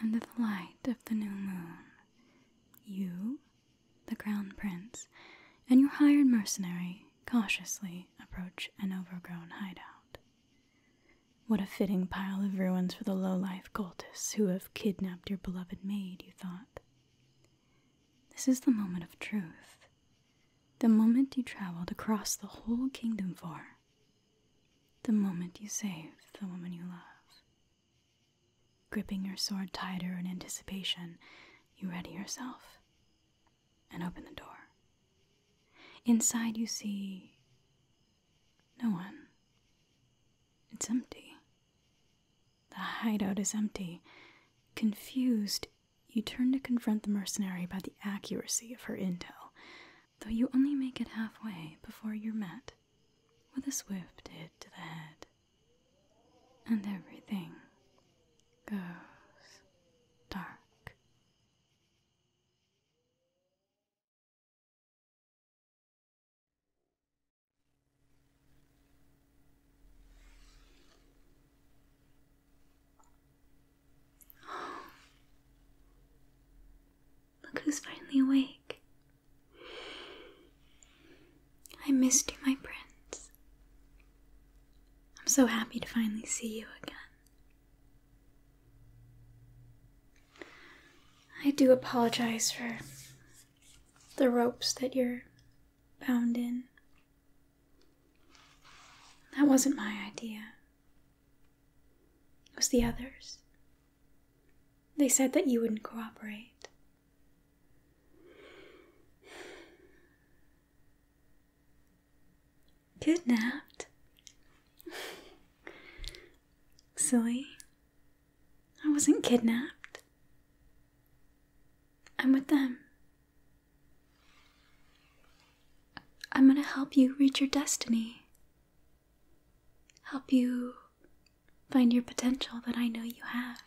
Under the light of the new moon, you, the Crown Prince, and your hired mercenary cautiously approach an overgrown hideout. What a fitting pile of ruins for the low-life cultists who have kidnapped your beloved maid, you thought. This is the moment of truth, the moment you traveled across the whole kingdom for, the moment you saved the woman you love. Gripping your sword tighter in anticipation, you ready yourself and open the door. Inside, you see no one. It's empty. The hideout is empty. Confused, you turn to confront the mercenary about the accuracy of her intel, though you only make it halfway before you're met with a swift hit to the head. And everything goes dark. Look who's finally awake. I missed you, my prince. I'm so happy to finally see you again. I do apologize for the ropes that you're bound in. That wasn't my idea. It was the others. They said that you wouldn't cooperate. Kidnapped? Silly. I wasn't kidnapped. I'm with them. I'm going to help you reach your destiny. Help you find your potential that I know you have.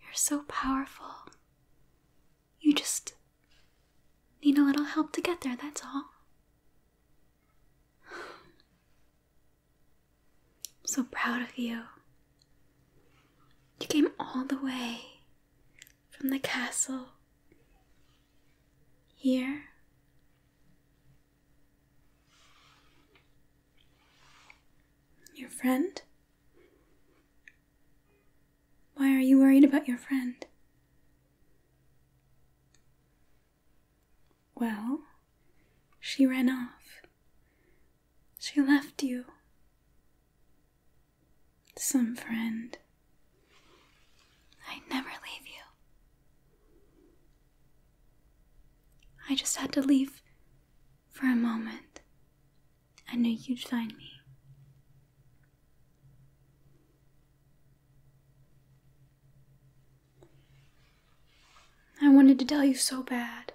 You're so powerful. You just need a little help to get there, that's all. I'm so proud of you. You came all the way from the castle here. Your friend? Why are you worried about your friend? Well, she ran off. She left you. Some friend. I never leave you. I just had to leave for a moment. I knew you'd find me. I wanted to tell you so bad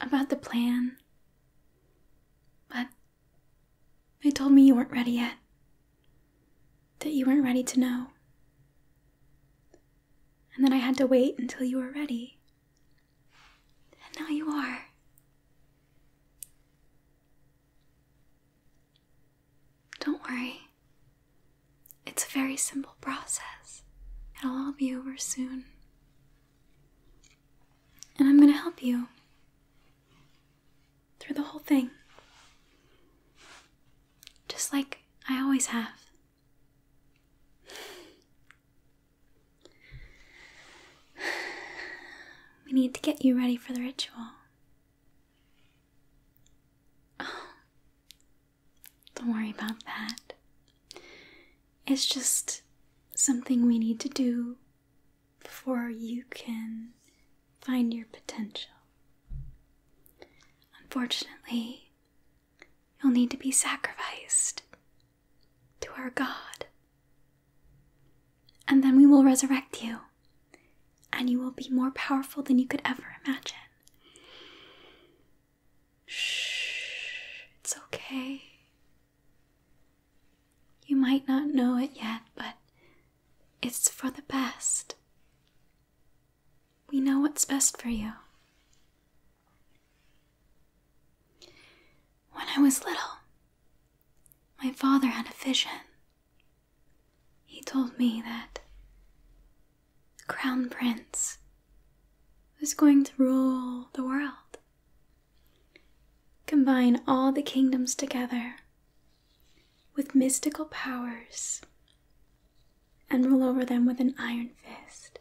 about the plan, but they told me you weren't ready yet, that you weren't ready to know, and then I had to wait until you were ready. And now you are. Don't worry, it's a very simple process. It'll all be over soon. And I'm going to help you through the whole thing. Just like I always have. We need to get you ready for the ritual. don't worry about that. It's just something we need to do before you can find your potential. Unfortunately, you'll need to be sacrificed to our God. And then we will resurrect you and you will be more powerful than you could ever imagine. Shh, it's okay. You might not know it yet, but it's for the best. We know what's best for you. When I was little, my father had a vision he told me that the crown prince was going to rule the world, combine all the kingdoms together with mystical powers, and rule over them with an iron fist,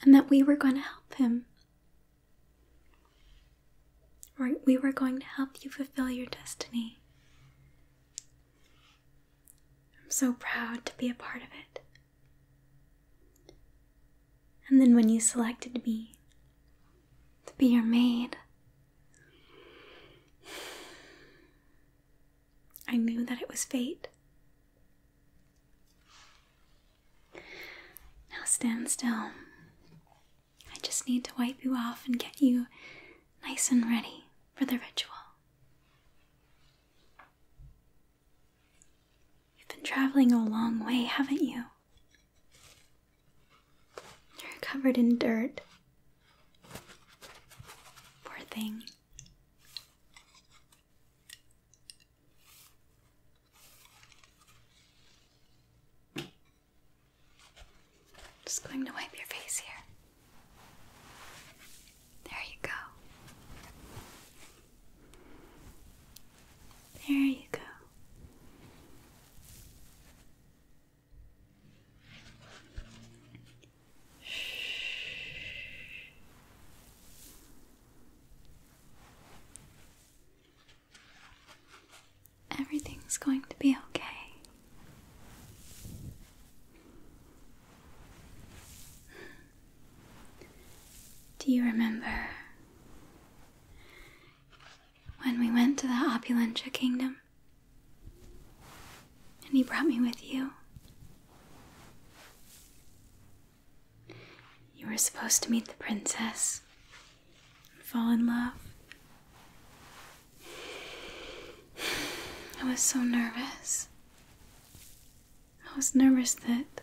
and that we were going to help him. We were going to help you fulfill your destiny. I'm so proud to be a part of it. And then when you selected me to be your maid, I knew that it was fate. Now stand still. I just need to wipe you off and get you nice and ready for the ritual. You've been traveling a long way, haven't you? You're covered in dirt. Poor thing. Just going to wipe your face here. There you go. There you go. Everything's going to be okay. Do you remember when we went to the Opulentia Kingdom? And he brought me with you? You were supposed to meet the princess and fall in love. I was so nervous. I was nervous that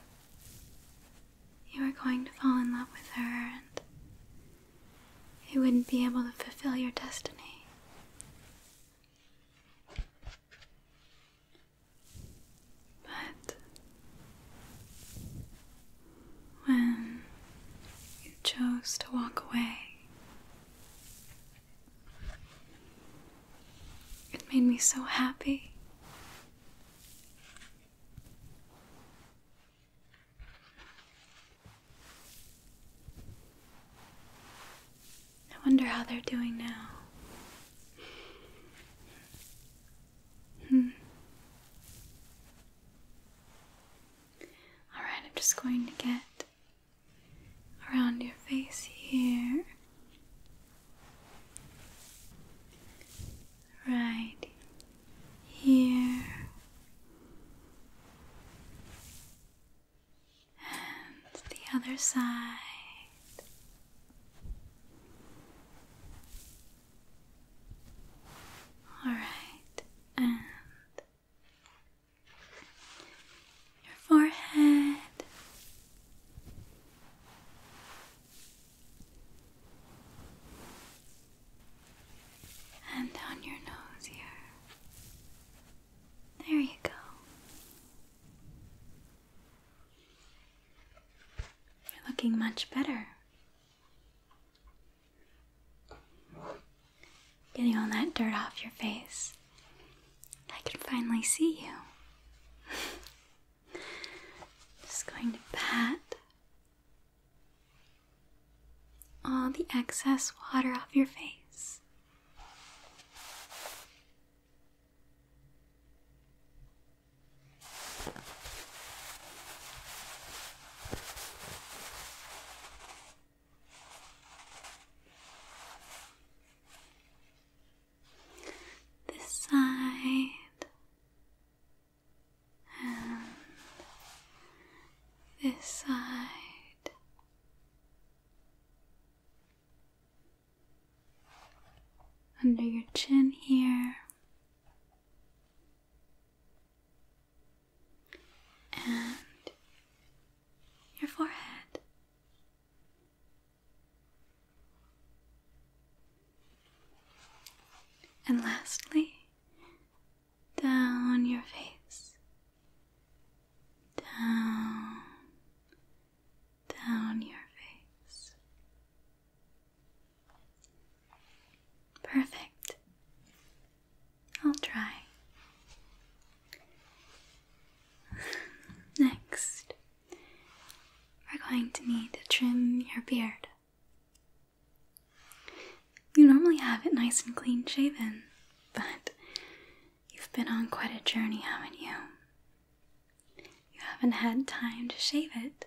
you were going to fall in love with her and you wouldn't be able to fulfill your destiny. But when you chose to walk away, it made me so happy. I wonder how they're doing now. Hmm. All right, I'm just going to get around your face here. Right here and the other side. All right, and your forehead. And down your nose here. There you go. You're looking much better. Getting all that dirt off your face. I can finally see you. Just going to pat all the excess water off your face. This side and this side. Under your chin here, and your forehead. And lastly, down your face, down, down your face. Perfect. I'll try. Next, we're going to need to trim your beard. You normally have it nice and clean shaven, but you've been on quite a journey, haven't you? You haven't had time to shave it.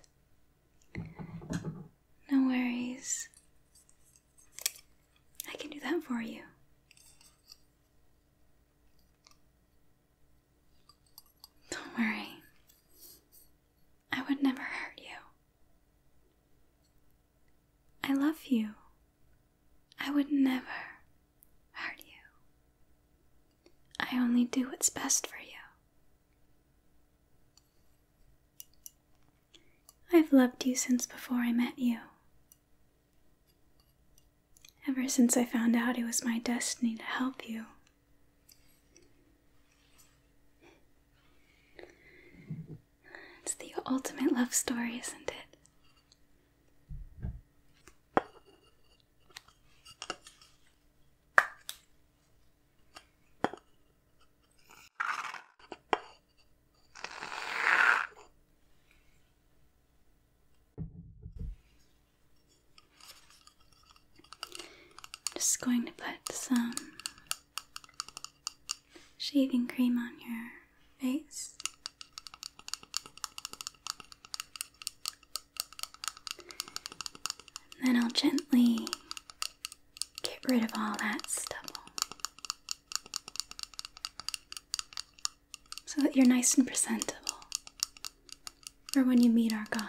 No worries. I can do that for you. Don't worry. I would never hurt you. I love you. I would never hurt you. I only do what's best for you. I've loved you since before I met you, Ever since I found out it was my destiny to help you, it's the ultimate love story, isn't it? I'm just going to put some shaving cream on your face. And then I'll gently get rid of all that stubble so that you're nice and presentable for when you meet our God.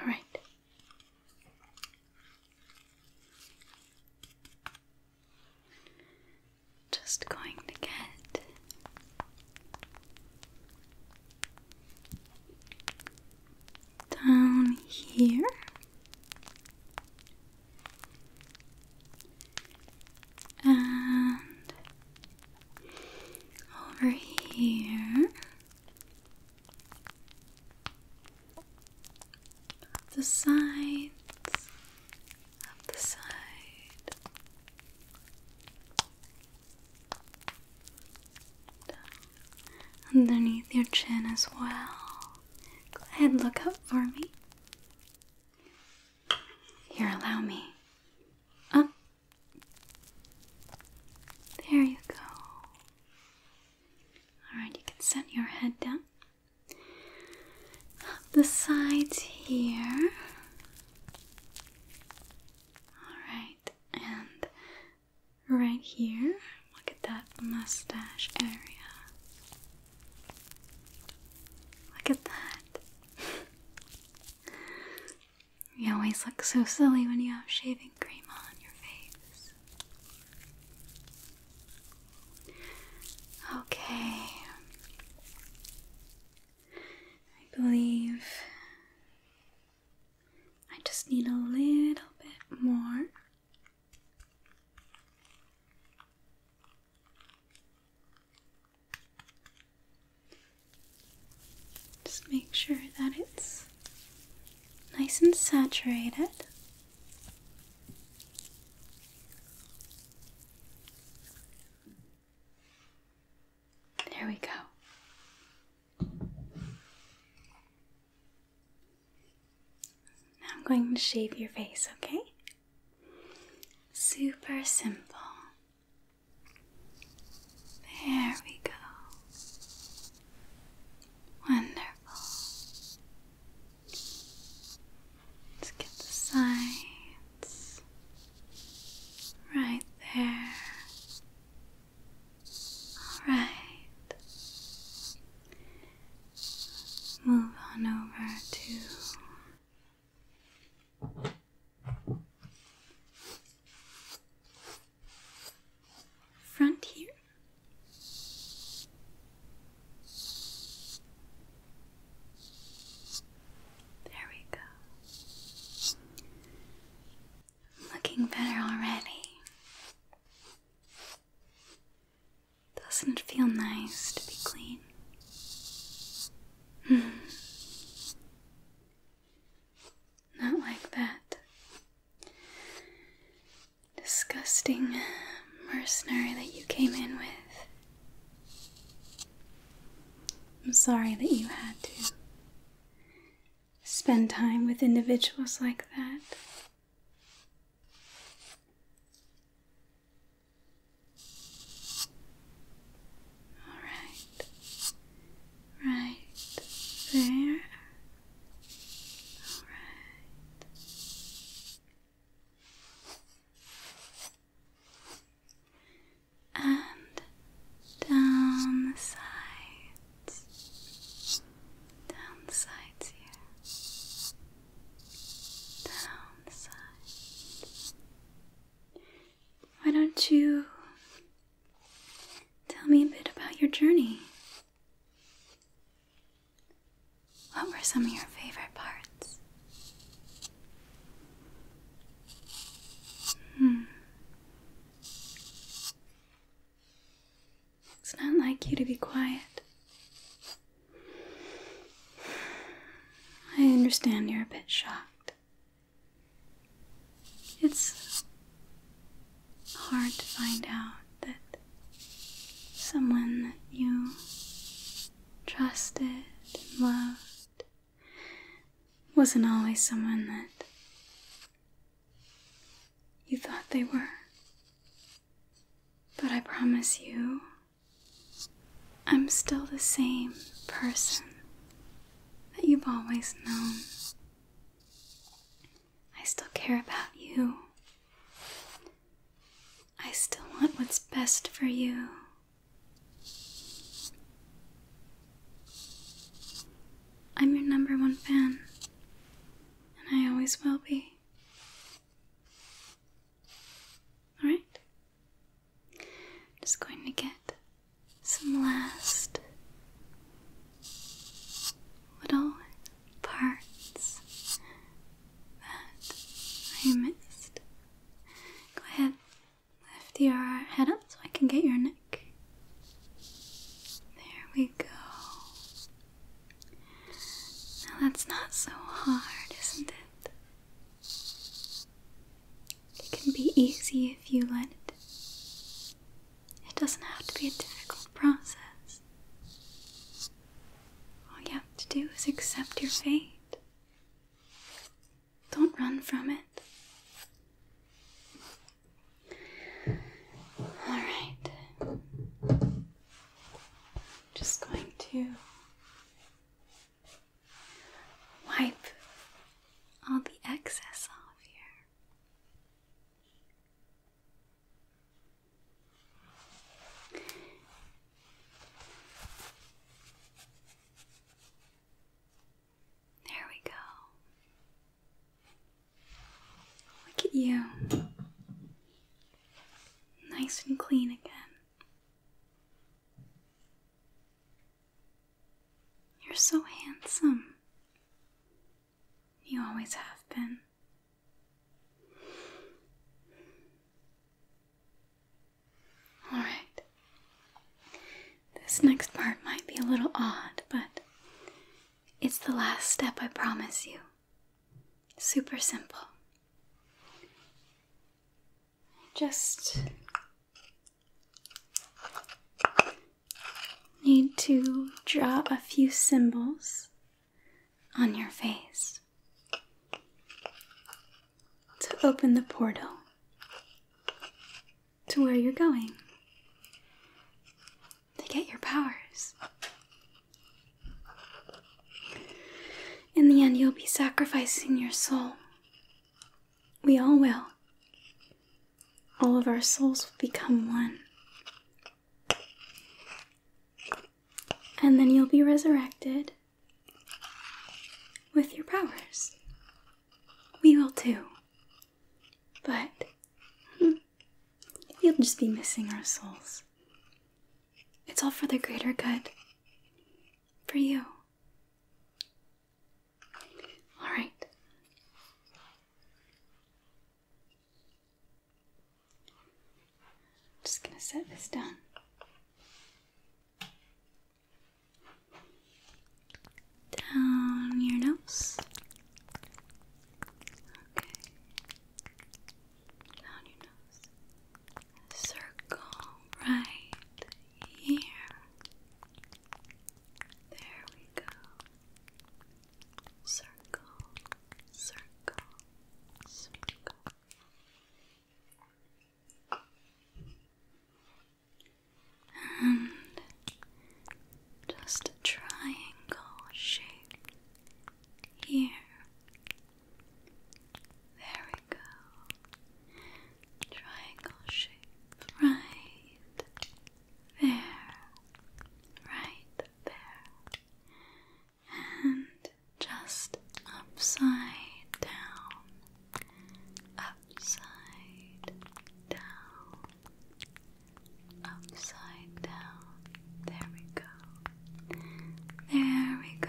All right. Just going to get down here. And over here. the sides, the side. Underneath your chin as well. Go ahead, look up for me. Here, allow me. Up there you go. Alright, you can set your head down. the sides here. Alright, and right here. Look at that mustache area. Look at that. You always look so silly when you have shaving cream on your face. Okay. I believe I just need a little bit more. Just make sure that it's nice and saturated. There we go. Now I'm going to shave your face, okay? Super simple. There we go. Wonderful. Let's get the sides right there. All right. Move on over to front here. There we go. Looking better already. Doesn't it feel nice to be clean? Hmm. Not like that. Disgusting mercenary that you came in with. I'm sorry that you had to spend time with individuals like that. Alright. Right there. Alright. And down the sides. Down the sides here. Down the sides. Why don't you Tell me a bit about your journey. What were some of your favorite parts? Hmm. It's not like you to be quiet. I understand you're a bit shocked. It's hard to find out that someone that you trusted and loved wasn't always someone that you thought they were. But I promise you, I'm still the same person that you've always known. I still care about you. I still want what's best for you. I'm your number one fan, and I always will be. Alright? just going to get some last little parts that I missed. Go ahead, lift your head up so I can get your neck. There we go. Now that's not so hard, isn't it? It can be easy if you let it. It doesn't have to be a difficult process. All you have to do is accept your fate. Don't run from it. Alright. Just going to wipe all the excess off here. There we go. Look at you. Nice and clean again. You're so handsome. You always have been. Alright. This next part might be a little odd, but it's the last step, I promise you. Super simple. Just Need to draw a few symbols on your face to open the portal to where you're going to get your powers. In the end, you'll be sacrificing your soul we all will. All of our souls will become one. And then you'll be resurrected with your powers. We will too. But you'll just be missing our souls. It's all for the greater good. For you. All just going to set this down. Down your nose. Okay. Down your nose. Circle right here. There we go. Circle, circle, circle. And just a triangle shape here. There we go. Triangle shape right there, right there, and just upside down, upside down, upside down. There we go. There we go.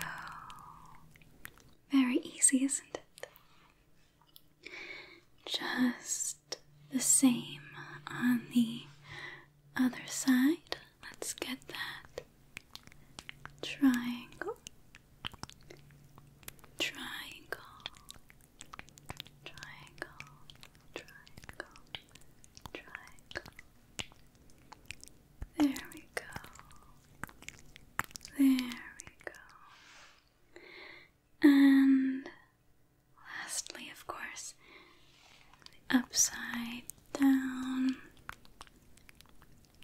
Very easy, isn't it? Just the same on the other side. Let's get that triangle, triangle, triangle, triangle, triangle. There we go. There we go. And lastly, of course, upside down,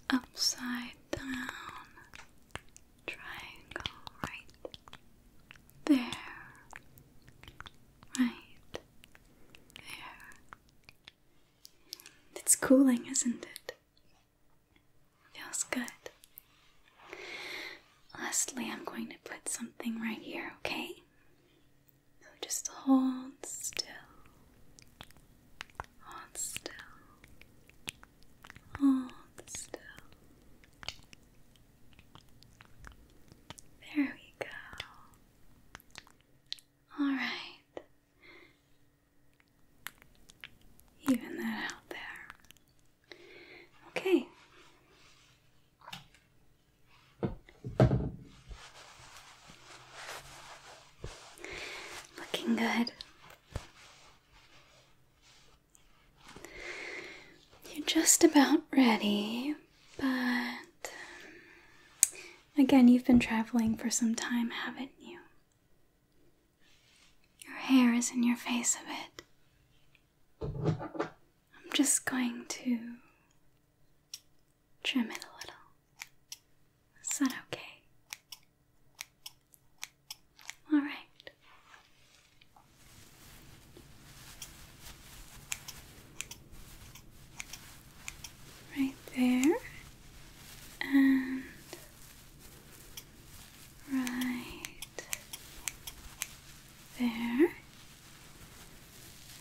upside down, triangle right there, right there. It's cooling, isn't it? Feels good. Lastly, I'm going to put something right here, okay? So just hold still. Hold still. Hold still. There we go. Alright. Even that out there. Okay. Looking good. You're just about ready, but um, again, you've been traveling for some time, haven't you? Your hair is in your face a bit. I'm just going to trim it a little. Is that okay? All right. Right there. And Right there.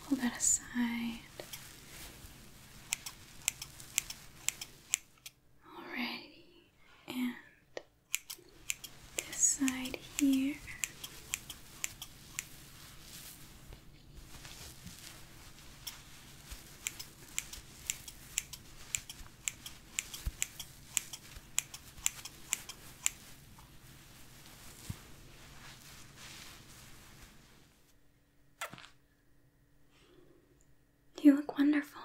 Hold that aside. Alrighty, and this side here. You look wonderful.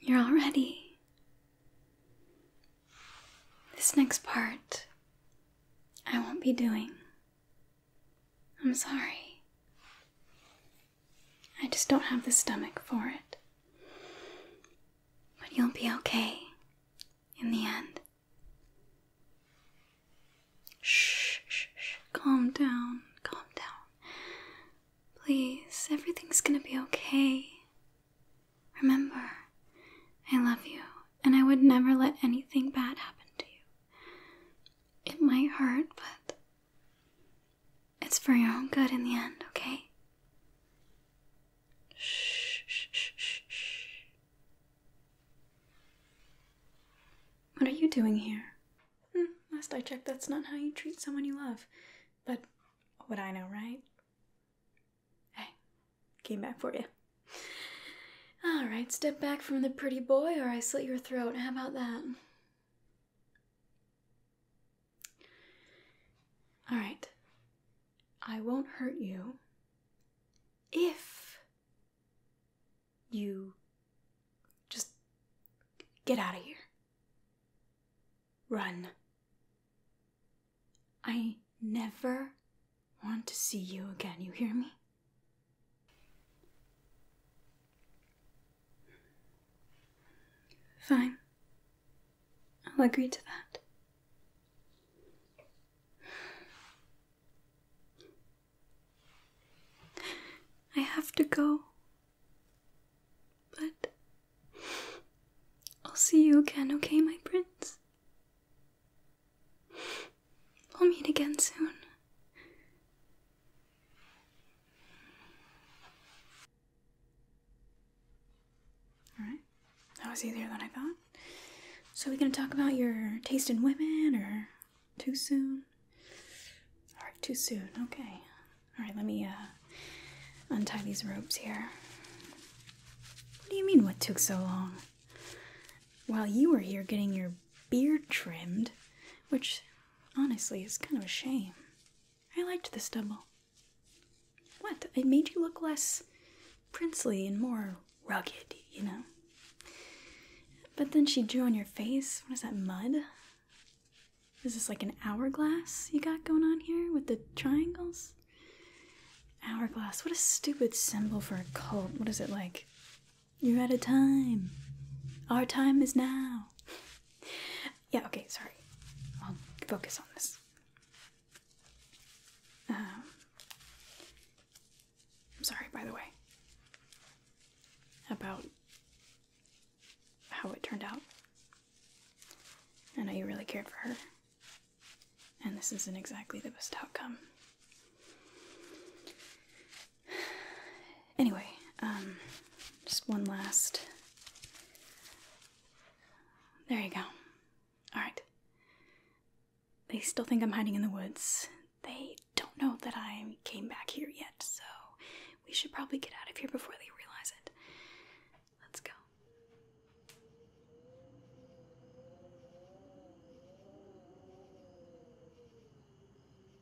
You're all ready. This next part I won't be doing. I'm sorry. I just don't have the stomach for it. But you'll be okay in the end. Shh, shh, shh. Calm down, calm down. Please, everything's gonna be okay. Remember, I love you, and I would never let anything bad happen to you. It might hurt, but it's for your own good in the end, okay? Shh, shh, shh, shh, What are you doing here? Hmm, last I checked, that's not how you treat someone you love. But what would I know, right? Hey, came back for you. All right, step back from the pretty boy or I slit your throat. How about that? All right. I won't hurt you if you just get out of here. Run. I never want to see you again. You hear me? Fine. I'll agree to that. I have to go. But I'll see you again, okay, my prince? We'll meet again soon. Alright, that was easier than I thought. So, are we gonna talk about your taste in women or too soon? Alright, too soon, okay. Alright, let me uh, untie these ropes here. What do you mean, what took so long? While you were here getting your beard trimmed, which Honestly, it's kind of a shame. I liked this double. What? It made you look less princely and more rugged, you know? But then she drew on your face. What is that, mud? Is this like an hourglass you got going on here with the triangles? Hourglass. What a stupid symbol for a cult. What is it like? You're out of time. Our time is now. yeah, okay, sorry. I'll focus on this. Um, I'm sorry, by the way, about how it turned out. I know you really cared for her, and this isn't exactly the best outcome. Anyway, um, just one last. There you go. Alright. They still think I'm hiding in the woods. They don't know that I came back here yet, so we should probably get out of here before they realize it. Let's go.